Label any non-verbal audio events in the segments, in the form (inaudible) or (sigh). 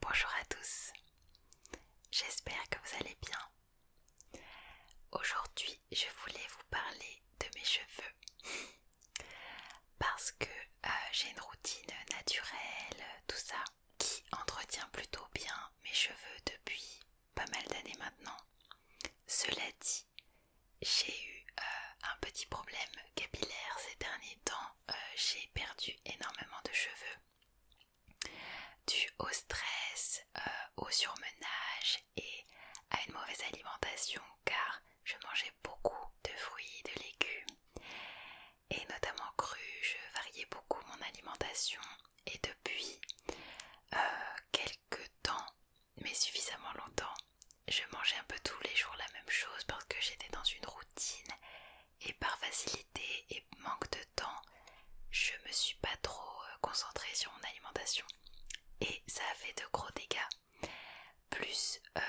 Bonjour à tous, j'espère que vous allez bien. Aujourd'hui je voulais vous parler de mes cheveux parce que euh, j'ai une routine naturelle, tout ça, qui entretient plutôt bien mes cheveux depuis pas mal d'années maintenant. Cela dit, j'ai eu euh, un petit problème capillaire ces derniers temps euh, j'ai perdu énormément de cheveux dû au stress, euh, au surmenage et à une mauvaise alimentation car je mangeais beaucoup de fruits, de légumes et notamment cru, je variais beaucoup mon alimentation et depuis euh, quelques temps, mais suffisamment longtemps, je mangeais un peu tous les jours la même chose parce que j'étais dans une routine et par facilité et manque de temps, je me suis pas trop euh, concentrée sur mon alimentation et ça a fait de gros dégâts. Plus euh,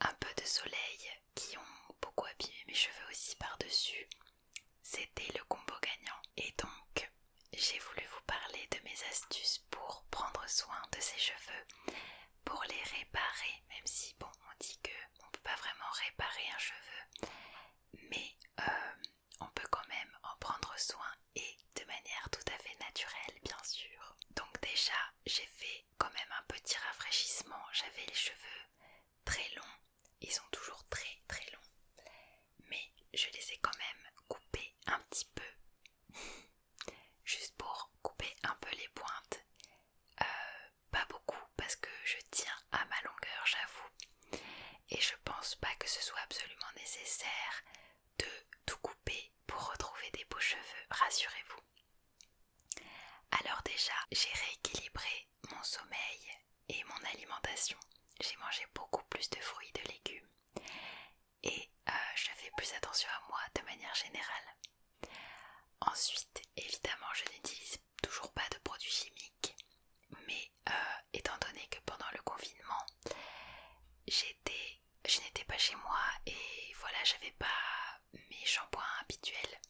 un peu de soleil qui ont beaucoup abîmé mes cheveux aussi par-dessus. C'était le combo gagnant. Et donc, j'ai voulu vous parler de mes astuces pour prendre soin de ses cheveux, pour les réparer, même si, bon, on dit que on ne peut pas vraiment réparer un cheveu, mais euh, on peut quand même en prendre soin et de manière tout à fait naturelle, bien sûr. Donc déjà, j'ai fait quand même un petit rafraîchissement. J'avais les cheveux très longs, ils sont toujours très très longs, mais je les ai quand même coupés un petit peu, (laughs) juste pour couper un peu les pointes. Euh, pas beaucoup parce que je tiens à ma longueur, j'avoue. Et je pense pas que ce soit absolument nécessaire de tout couper pour retrouver des beaux cheveux, rassurez-vous. Alors déjà, j'ai rééquilibré mon sommeil et mon alimentation. J'ai mangé beaucoup plus de fruits, et de légumes. Et euh, je fais plus attention à moi de manière générale. Ensuite, évidemment, je n'utilise toujours pas de produits chimiques, mais euh, étant donné que pendant le confinement, je n'étais pas chez moi et voilà, j'avais pas mes shampoings habituels.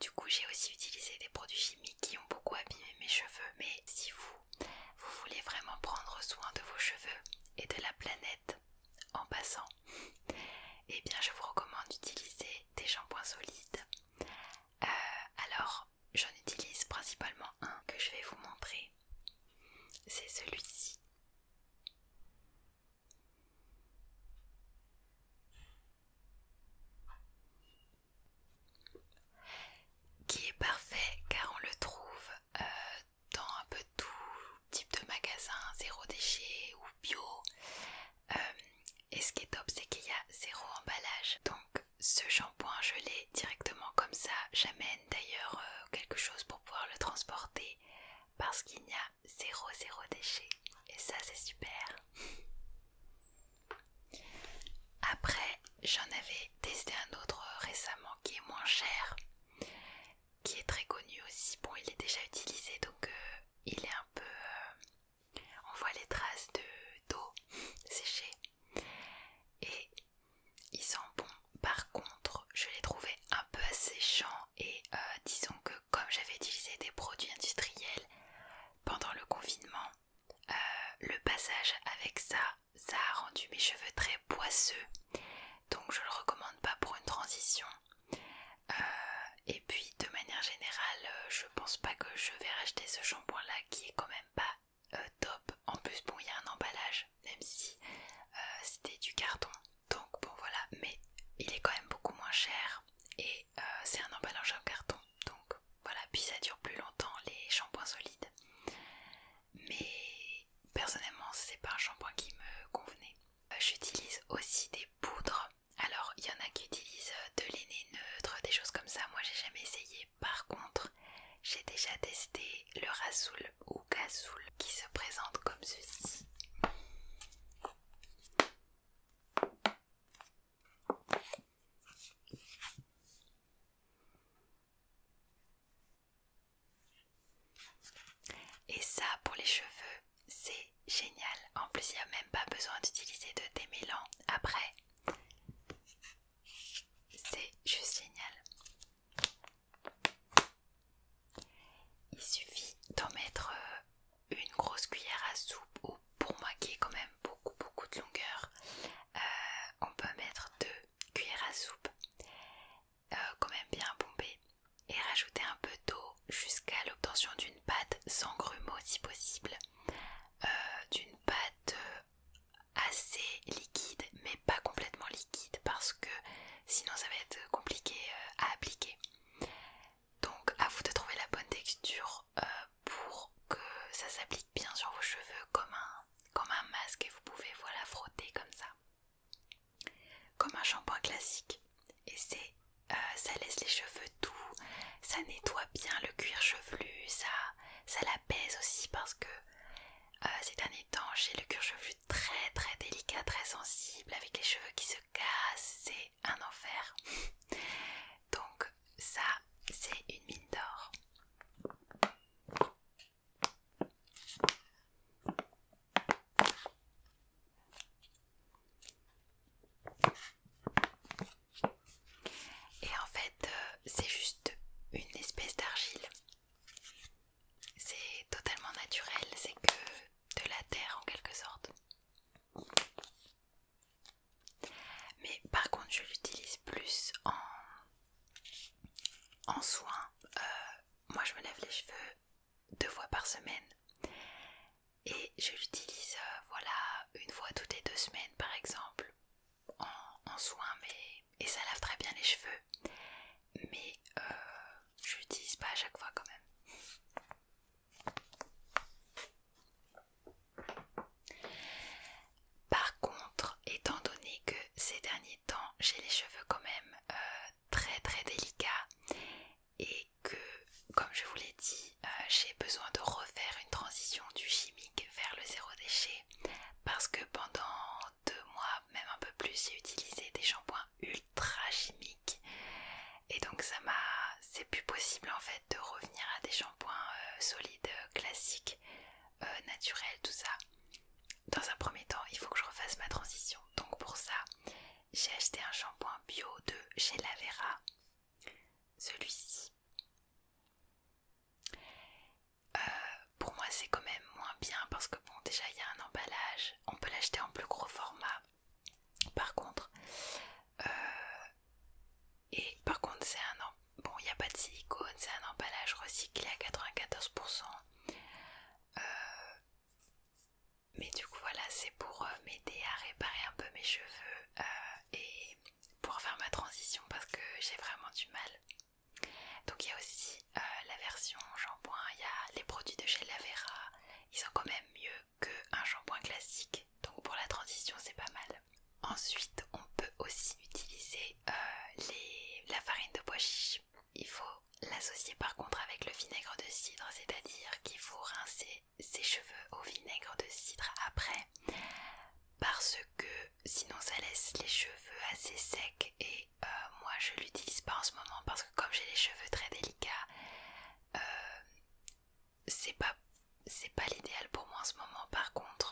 Du coup, j'ai aussi utilisé des produits chimiques qui ont beaucoup abîmé mes cheveux, mais si vous, vous voulez vraiment prendre soin de vos cheveux et de la planète en passant et eh bien je vous recommande d'utiliser des shampoings solides. Euh, alors j'en utilise principalement un que je vais vous montrer. C'est celui-ci. Qui est parfait car on le trouve euh, dans un peu tout type de magasin, zéro déchet ou bio. Euh, et ce qui est top, c'est qu'il y a zéro emballage. Donc ce shampoing, je l'ai directement comme ça. J'amène d'ailleurs euh, quelque chose pour pouvoir le transporter parce qu'il n'y a zéro zéro déchet. Et ça, c'est super. Après, j'en avais testé un autre récemment qui est moins cher qui est très connu aussi. Bon, il est déjà utilisé donc euh, il est un peu. Euh, on voit les traces de d'eau séchée et il sent bon. Par contre, je l'ai trouvé un peu asséchant et euh, disons que comme j'avais utilisé des produits industriels pendant le confinement, le passage avec ça, ça a rendu mes cheveux très poisseux donc je le recommande pas pour une transition. Euh, et puis de manière générale, euh, je pense pas que je vais racheter ce shampoing là qui est quand même pas euh, top. En plus, bon, il y a un emballage, même si c'était du carton, donc bon voilà, mais il est quand même beaucoup moins cher et c'est un emballage en carton, donc voilà. Puis ça dure plus longtemps les shampoings solides mais personnellement c'est pas un shampoing qui me convenait. Euh, j'utilise aussi des poudres, alors il y en a qui utilisent euh, de l'aîné neutre, des choses comme ça, moi j'ai jamais essayé. Par contre, j'ai déjà testé le rasoul ou gasoul qui se présente comme ceci. Et ça pour les cheveux, c'est génial. En plus, il n'y a même pas besoin d'utiliser de démêlant après. C'est juste génial. Il suffit d'en mettre euh, une grosse cuillère à soupe ou pour moi qui est quand même beaucoup beaucoup de longueur, euh, on peut mettre deux cuillères à soupe euh, quand même bien pomper et rajouter un peu d'eau jusqu'à l'obtention d'une pâte sans grumeaux si possible, euh, d'une pâte euh, assez liquide mais pas complètement liquide parce que sinon ça va être compliqué à appliquer. Donc à vous de trouver la bonne texture pour que ça s'applique bien sur vos cheveux comme un, comme un masque et vous pouvez voilà frotter comme ça comme un shampoing classique et c'est euh, ça laisse les cheveux doux, ça nettoie bien le cuir chevelu, ça, ça l'apaise aussi parce que c'est un étanche le cuir chevelu très très délicat, très sensible avec les cheveux qui se cassent, c'est un enfer. Donc ça c'est une mine d'or. Et en fait, euh, c'est juste une espèce d'argile. C'est totalement naturel, c'est que de la terre en quelque sorte. Mais par contre, je l'utilise plus en en soin, euh, moi je me lève les cheveux deux fois par semaine et je l'utilise euh, voilà une fois toutes les deux semaines par exemple en, soin mais et ça lave très bien les cheveux mais je euh, je l'utilise pas à chaque fois quand même. Par contre, étant donné que ces derniers j'ai les cheveux quand même euh, très très délicats et que comme je vous l'ai dit euh, j'ai besoin de refaire une transition du chimique vers le zéro déchet parce que pendant deux mois même un peu plus j'ai utilisé des shampoings ultra chimiques et donc ça m'a c'est plus possible en fait de revenir à des shampoings euh, solides classiques naturels tout ça dans un premier temps, il faut que je refasse ma transition. Donc pour ça, j'ai acheté un shampoing bio de chez Lavera. Celui-ci. Euh, pour moi, c'est quand même moins bien parce que bon, déjà il y a un emballage. On peut l'acheter en plus gros format. Par contre, euh, et par contre, c'est un Bon, il n'y a pas de silicone, c'est un emballage recyclé à 94%. Euh, mais du coup, voilà, c'est pour euh, m'aider à réparer un peu mes cheveux euh, et pour faire ma transition parce que j'ai vraiment du mal. Donc, il y a aussi la version shampoing, il y a les produits de chez Lavera, ils sont quand même mieux qu'un shampoing classique. Donc, pour la transition, c'est pas mal. Ensuite, on peut aussi utiliser euh, la farine de pois chiche. Il faut l'associer par contre avec le vinaigre de cidre, c'est-à-dire qu'il faut rincer ses cheveux au vinaigre de cidre après, parce que sinon ça laisse les cheveux assez secs et euh, moi je l'utilise pas en ce moment parce que comme j'ai les cheveux très délicats, euh, c'est pas l'idéal pour moi en ce moment. Par contre,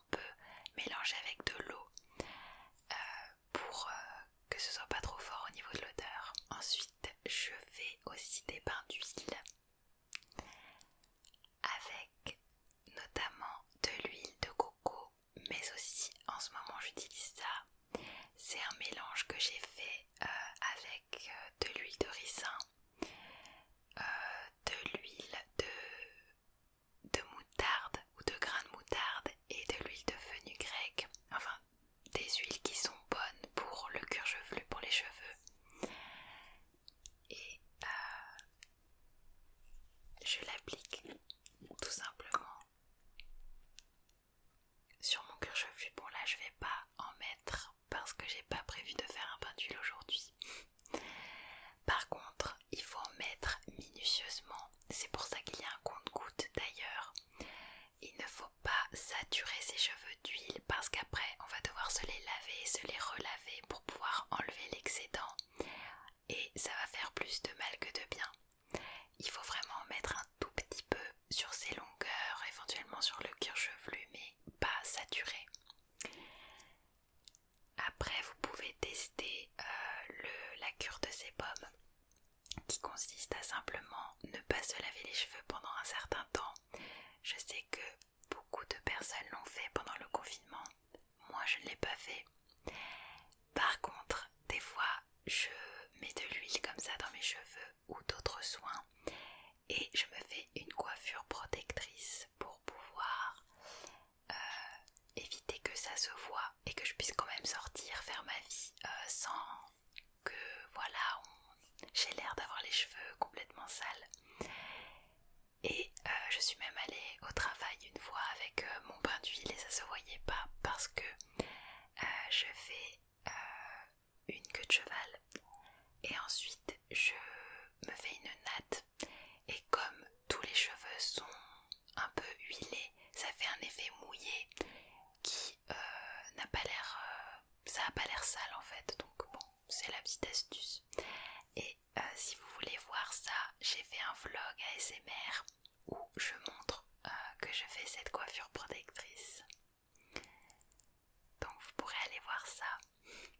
peu peut mélanger avec de l'eau euh, pour euh, que ce soit pas trop fort au niveau de l'odeur. Ensuite, je fais aussi des pains d'huile avec notamment de l'huile de coco, mais aussi en ce moment j'utilise ça. C'est un mélange que j'ai fait euh, avec de l'huile de ricin, de l'huile de de moutarde ou de grains de moutarde et de l'huile de fenugrec, enfin des huiles qui sont bonnes pour le cuir chevelu, pour les cheveux. Et euh, je l'applique tout simplement sur mon cuir chevelu. Bon là je vais pas en mettre parce que j'ai pas prévu de faire un pain d'huile aujourd'hui. Par contre, il faut en mettre minutieusement. C'est pour ça qu'il y a un compte-goutte d'ailleurs. Il ne faut pas saturer ses cheveux d'huile parce qu'après on va devoir se les laver, se les relaver pour pouvoir enlever l'excédent et ça va faire plus de mal que de bien. Il faut vraiment mettre un tout petit peu sur ses longueurs, éventuellement sur le cuir chevelu, mais pas saturer. Après, vous pouvez tester euh, la cure de ces pommes, qui consiste à simplement ne pas se laver les cheveux pendant un certain temps. Je sais que beaucoup de personnes l'ont fait pendant le confinement. Moi, je ne l'ai pas fait. Par contre, des fois, je mets de l'huile comme ça dans mes cheveux ou d'autres soins et je me fais une coiffure protectrice pour pouvoir euh, éviter que ça se voit et que je puisse quand même sortir, faire ma vie euh, sans que voilà, j'ai l'air d'avoir les cheveux complètement sales. Et euh, je suis même allée au travail une fois avec mon bain d'huile et ça se voyait pas parce que je fais une queue de cheval et ensuite je me fais une natte et comme tous les cheveux sont un peu huilés, ça fait un effet mouillé qui euh, n'a pas l'air euh, ça a pas l'air sale en fait donc bon c'est la petite astuce et euh, si vous voulez voir ça j'ai fait un vlog ASMR où je montre que je fais cette coiffure protectrice donc vous pourrez aller voir ça.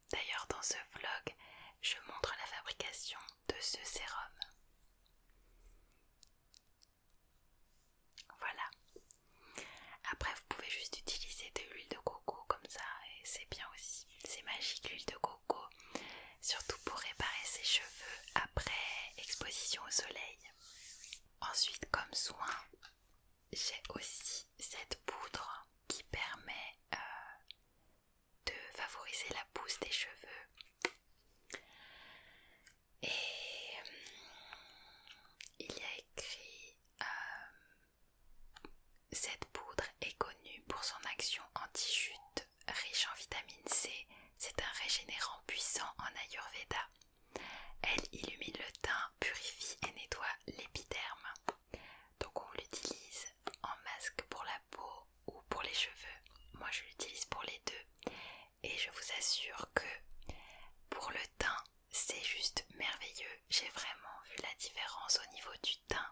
D'ailleurs dans ce vlog, je montre la fabrication de ce sérum. Voilà. Après vous pouvez juste utiliser de l'huile de coco comme ça et c'est bien aussi. C'est magique l'huile de coco, surtout pour réparer ses cheveux après exposition au soleil. Ensuite comme soin, j'ai aussi cette poudre qui permet euh, de favoriser la pousse des cheveux. Et euh, il y a écrit euh, Cette poudre est connue pour son action anti-chute, riche en vitamine C. C'est un régénérant puissant en Ayurveda. Elle illumine le teint, purifie et nettoie l'épiderme. Donc on l'utilise en masque pour la peau ou pour les cheveux. Moi je l'utilise pour les deux. Et je vous assure que pour le teint, c'est juste merveilleux. J'ai vraiment vu la différence au niveau du teint.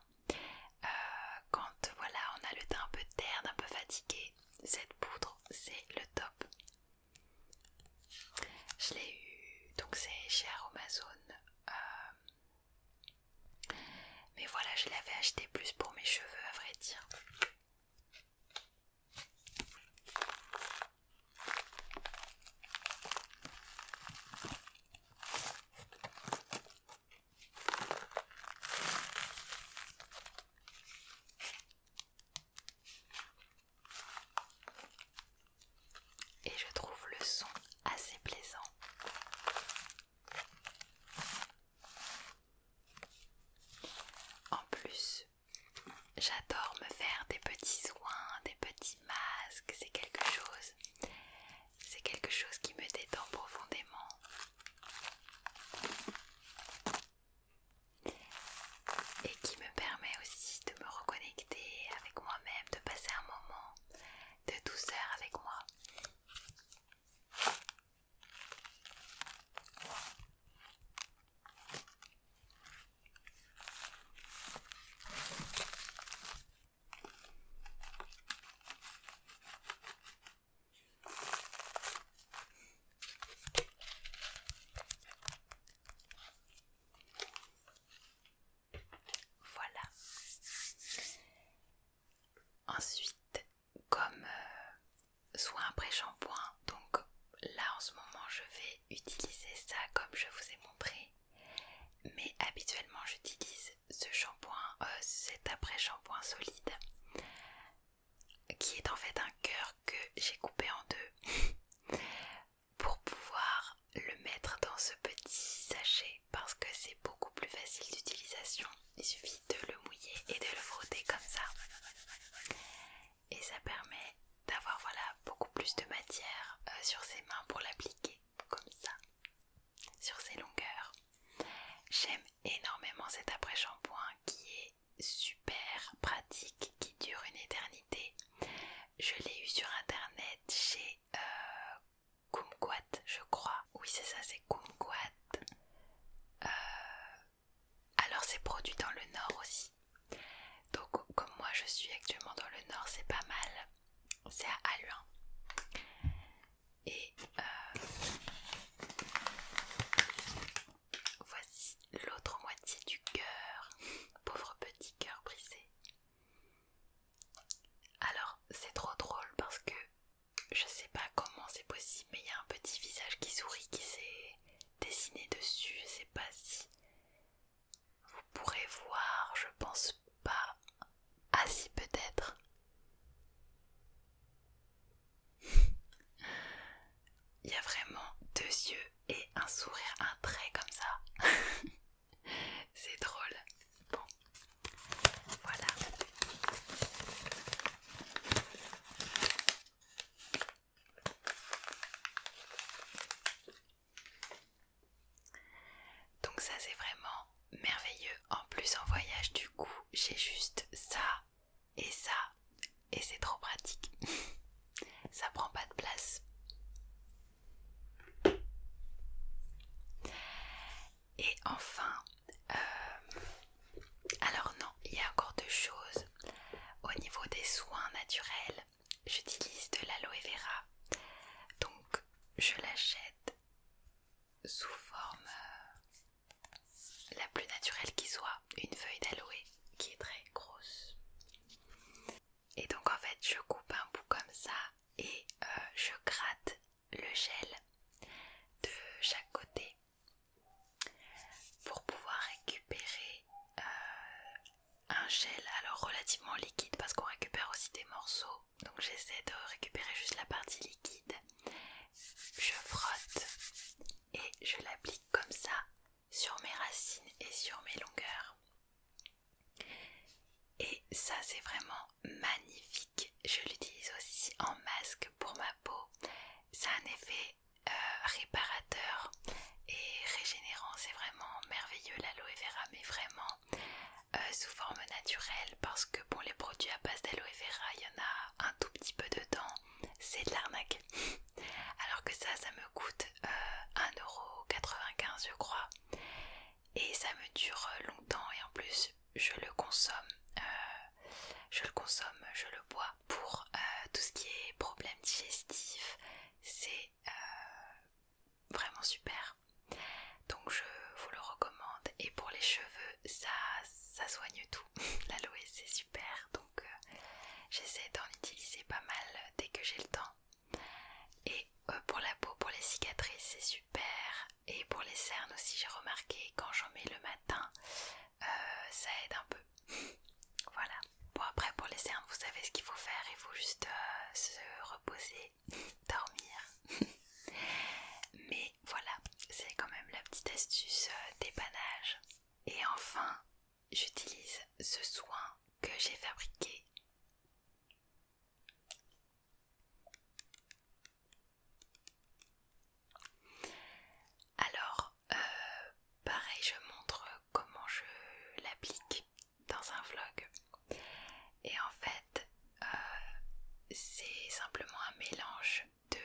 Euh, quand voilà, on a le teint un peu terne, un peu fatigué, cette poudre c'est le top. Je l'ai eu, donc c'est cher Amazon, euh, mais voilà, je l'avais acheté plus pour mes cheveux à vrai dire. Et je trouve le son assez plaisant. En plus, j'adore me faire des petits soins, des petits masques, c'est quelque chose. C'est quelque chose qui me détend profondément et qui me permet aussi de me reconnecter avec moi-même, de passer un moment de douceur avec moi. Voilà. Ensuite, comme euh, soit soin après shampoing, donc là en ce moment je vais utiliser ça comme je vous ai montré, mais habituellement j'utilise ce shampoing, euh, cet après shampoing solide, qui est en fait un cœur que j'ai coupé en deux (laughs) pour pouvoir le mettre dans ce petit sachet parce que c'est beaucoup plus facile d'utilisation. Il suffit de le mouiller et de le frotter comme ça. Et ça permet d'avoir voilà beaucoup plus de matière euh, sur ses mains pour l'appliquer comme ça sur ses longueurs. J'aime énormément cet après-shampoing qui est super pratique, qui dure une éternité je l'ai eu sur internet chez euh, Kumquat, je crois. Oui, c'est ça, c'est Kumquat. Euh, alors, c'est produit dans le Nord aussi. Donc, comme moi je suis actuellement dans le Nord, c'est pas mal. C'est à Aluin. Et euh, Voici l'autre moitié du cœur. Pauvre petit cœur brisé. Alors, c'est trop drôle parce que je sais pas comment c'est possible, mais il y a un petit visage qui sourit qui s'est dessiné dessus. Je sais pas si vous pourrez voir, je pense pas. Ah, si, peut-être. (laughs) Il y a vraiment deux yeux et un sourire, un trait comme ça. (laughs) C'est drôle. Bon, voilà. Donc ça c'est vraiment merveilleux. En plus en voyage du coup, j'ai juste ça et ça, et c'est trop pratique. (laughs) ça prend pas de place. Et enfin, euh, alors non, il y a encore deux choses. Au niveau des soins naturels, j'utilise de l'aloe vera. Donc, je l'achète sous forme euh, la plus naturelle qui soit une feuille d'aloe qui est très grosse. Et donc en fait je coupe un bout comme ça et euh, je gratte le gel de chaque côté pour pouvoir récupérer euh, un gel alors relativement liquide parce qu'on récupère aussi des morceaux. Donc j'essaie de récupérer juste la partie liquide. Je frotte et je l'applique comme ça sur mes racines et sur mes longueurs. Et ça c'est vraiment magnifique. Je l'utilise aussi en masque pour ma peau. Ça a un effet euh, réparateur et régénérant. C'est vraiment merveilleux l'aloe vera, mais vraiment euh, sous forme naturelle parce que bon les produits à base d'aloe vera, il y en a un tout petit peu dedans. C'est de l'arnaque alors que ça ça me coûte 1,95€ euh, je crois et ça me dure euh, longtemps et en plus je le consomme euh, je le consomme je le bois pour tout ce qui est problème digestif c'est vraiment super donc je vous le recommande et pour les cheveux ça ça soigne tout (laughs) La l'aloe c'est super donc euh, j'essaie d'en utiliser pas mal dès que j'ai le temps. Et euh, pour la peau, pour les cicatrices, c'est super. Et pour les cernes aussi, j'ai remarqué quand j'en mets le matin, euh, ça aide un peu. (laughs) voilà. Bon après pour les cernes, vous savez ce qu'il faut faire. Il faut juste se reposer, (laughs) dormir. (laughs) Mais voilà, c'est quand même la petite astuce d'épanage dépannage et enfin, j'utilise ce soin que j'ai fabriqué. Alors, euh, pareil, je montre comment je l'applique dans un vlog. Et en fait, euh, c'est simplement un mélange de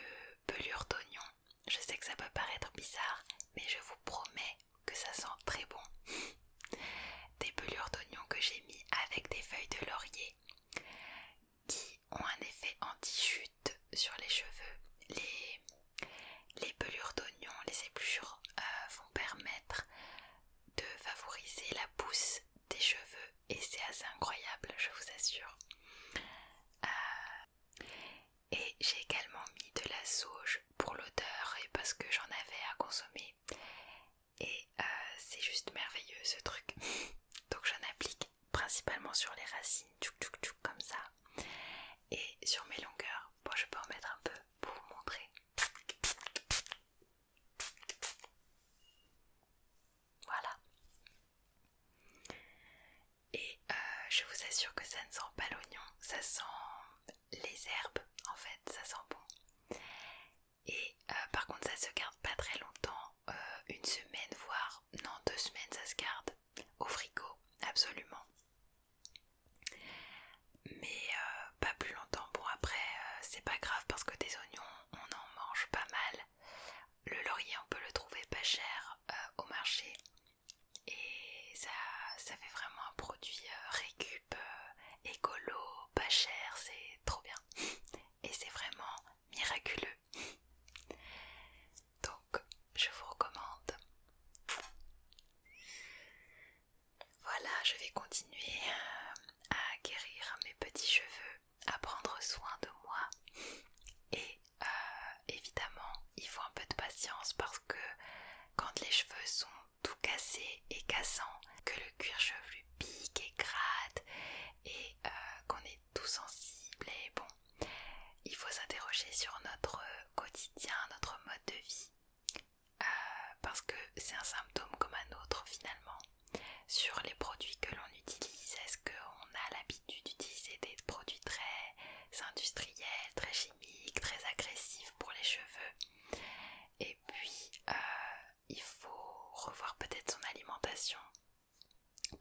pelures d'oignon. Je sais que ça peut paraître bizarre, mais je vous promets que ça sent très bon. (laughs) des pelures d'oignon que j'ai mis avec des feuilles de laurier qui ont un effet anti-chute sur les cheveux. Les, les pelures d'oignon, les épluchures euh, vont permettre de favoriser la pousse des cheveux et c'est assez incroyable, je vous assure. Euh, et j'ai également mis de la sauge pour l'odeur et parce que j'en avais à consommer. Et euh, c'est juste merveilleux ce truc. (laughs) Donc j'en applique principalement sur les racines, tchouk tchouk tchouk comme ça. Et sur mes longueurs, bon je peux en mettre un peu pour vous montrer. Voilà. Et euh, je vous assure que ça ne sent pas l'oignon, ça sent les herbes en fait, ça sent bon. Et euh, par contre ça se garde pas très longtemps, euh, une semaine voire, non deux semaines ça se garde au frigo, absolument. Mais pas plus longtemps, bon après c'est pas grave parce que des oignons on en mange pas mal le laurier, on peut le trouver pas cher euh, au marché et ça, fait vraiment un produit euh, récup, euh, écolo, pas cher, c'est trop bien et c'est vraiment miraculeux. Donc, je vous recommande. Voilà, je vais continuer à guérir mes petits cheveux à prendre soin de moi et euh, évidemment il faut un peu de patience parce que quand les cheveux sont tout cassés et cassants, que le cuir chevelu pique et gratte et euh, qu'on est tout sensible et bon, il faut s'interroger sur notre quotidien, notre mode de vie euh, parce que c'est un symptôme comme un autre finalement sur les produits que l'on utilise qu'on a l'habitude d'utiliser des produits très industriels, très chimiques, très agressifs pour les cheveux. Et puis, euh, il faut revoir peut-être son alimentation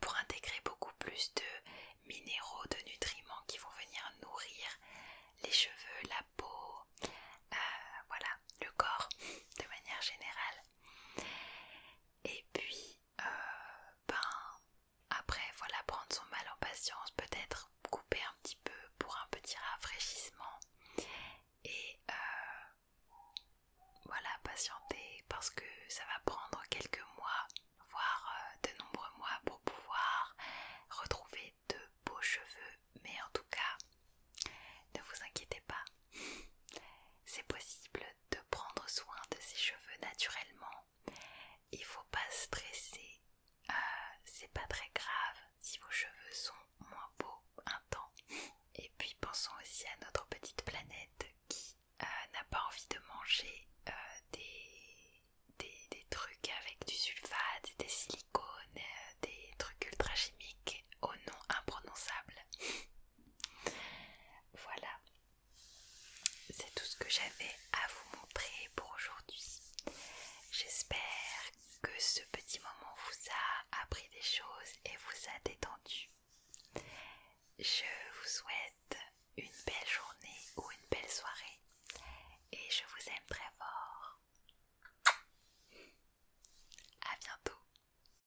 pour intégrer beaucoup plus de minéraux, de nutriments qui vont venir nourrir les cheveux, la peau, euh, voilà, le corps de manière générale. Et puis euh, ben, après, voilà, prendre son mal en patience, peut-être couper un petit peu pour un petit rafraîchissement et euh, voilà, patienter parce que ça va prendre quelques mois, voire euh, de nombreux mois pour pouvoir retrouver de beaux cheveux. Mais en tout cas, ne vous inquiétez pas, c'est possible de prendre soin de ses cheveux naturellement. Il faut pas stresser. ce euh, C'est pas très grave si vos cheveux sont moins beaux un temps. Et puis pensons aussi à notre petite planète qui euh, n'a pas envie de manger euh, des, trucs avec du sulfate, des silicones, des trucs ultra chimiques au nom imprononçable. Voilà, c'est tout ce que j'avais à vous montrer pour aujourd'hui. J'espère que ce petit moment vous a appris des choses et vous a détendu. Je vous souhaite une belle journée ou une belle soirée et je vous aime très fort. À bientôt.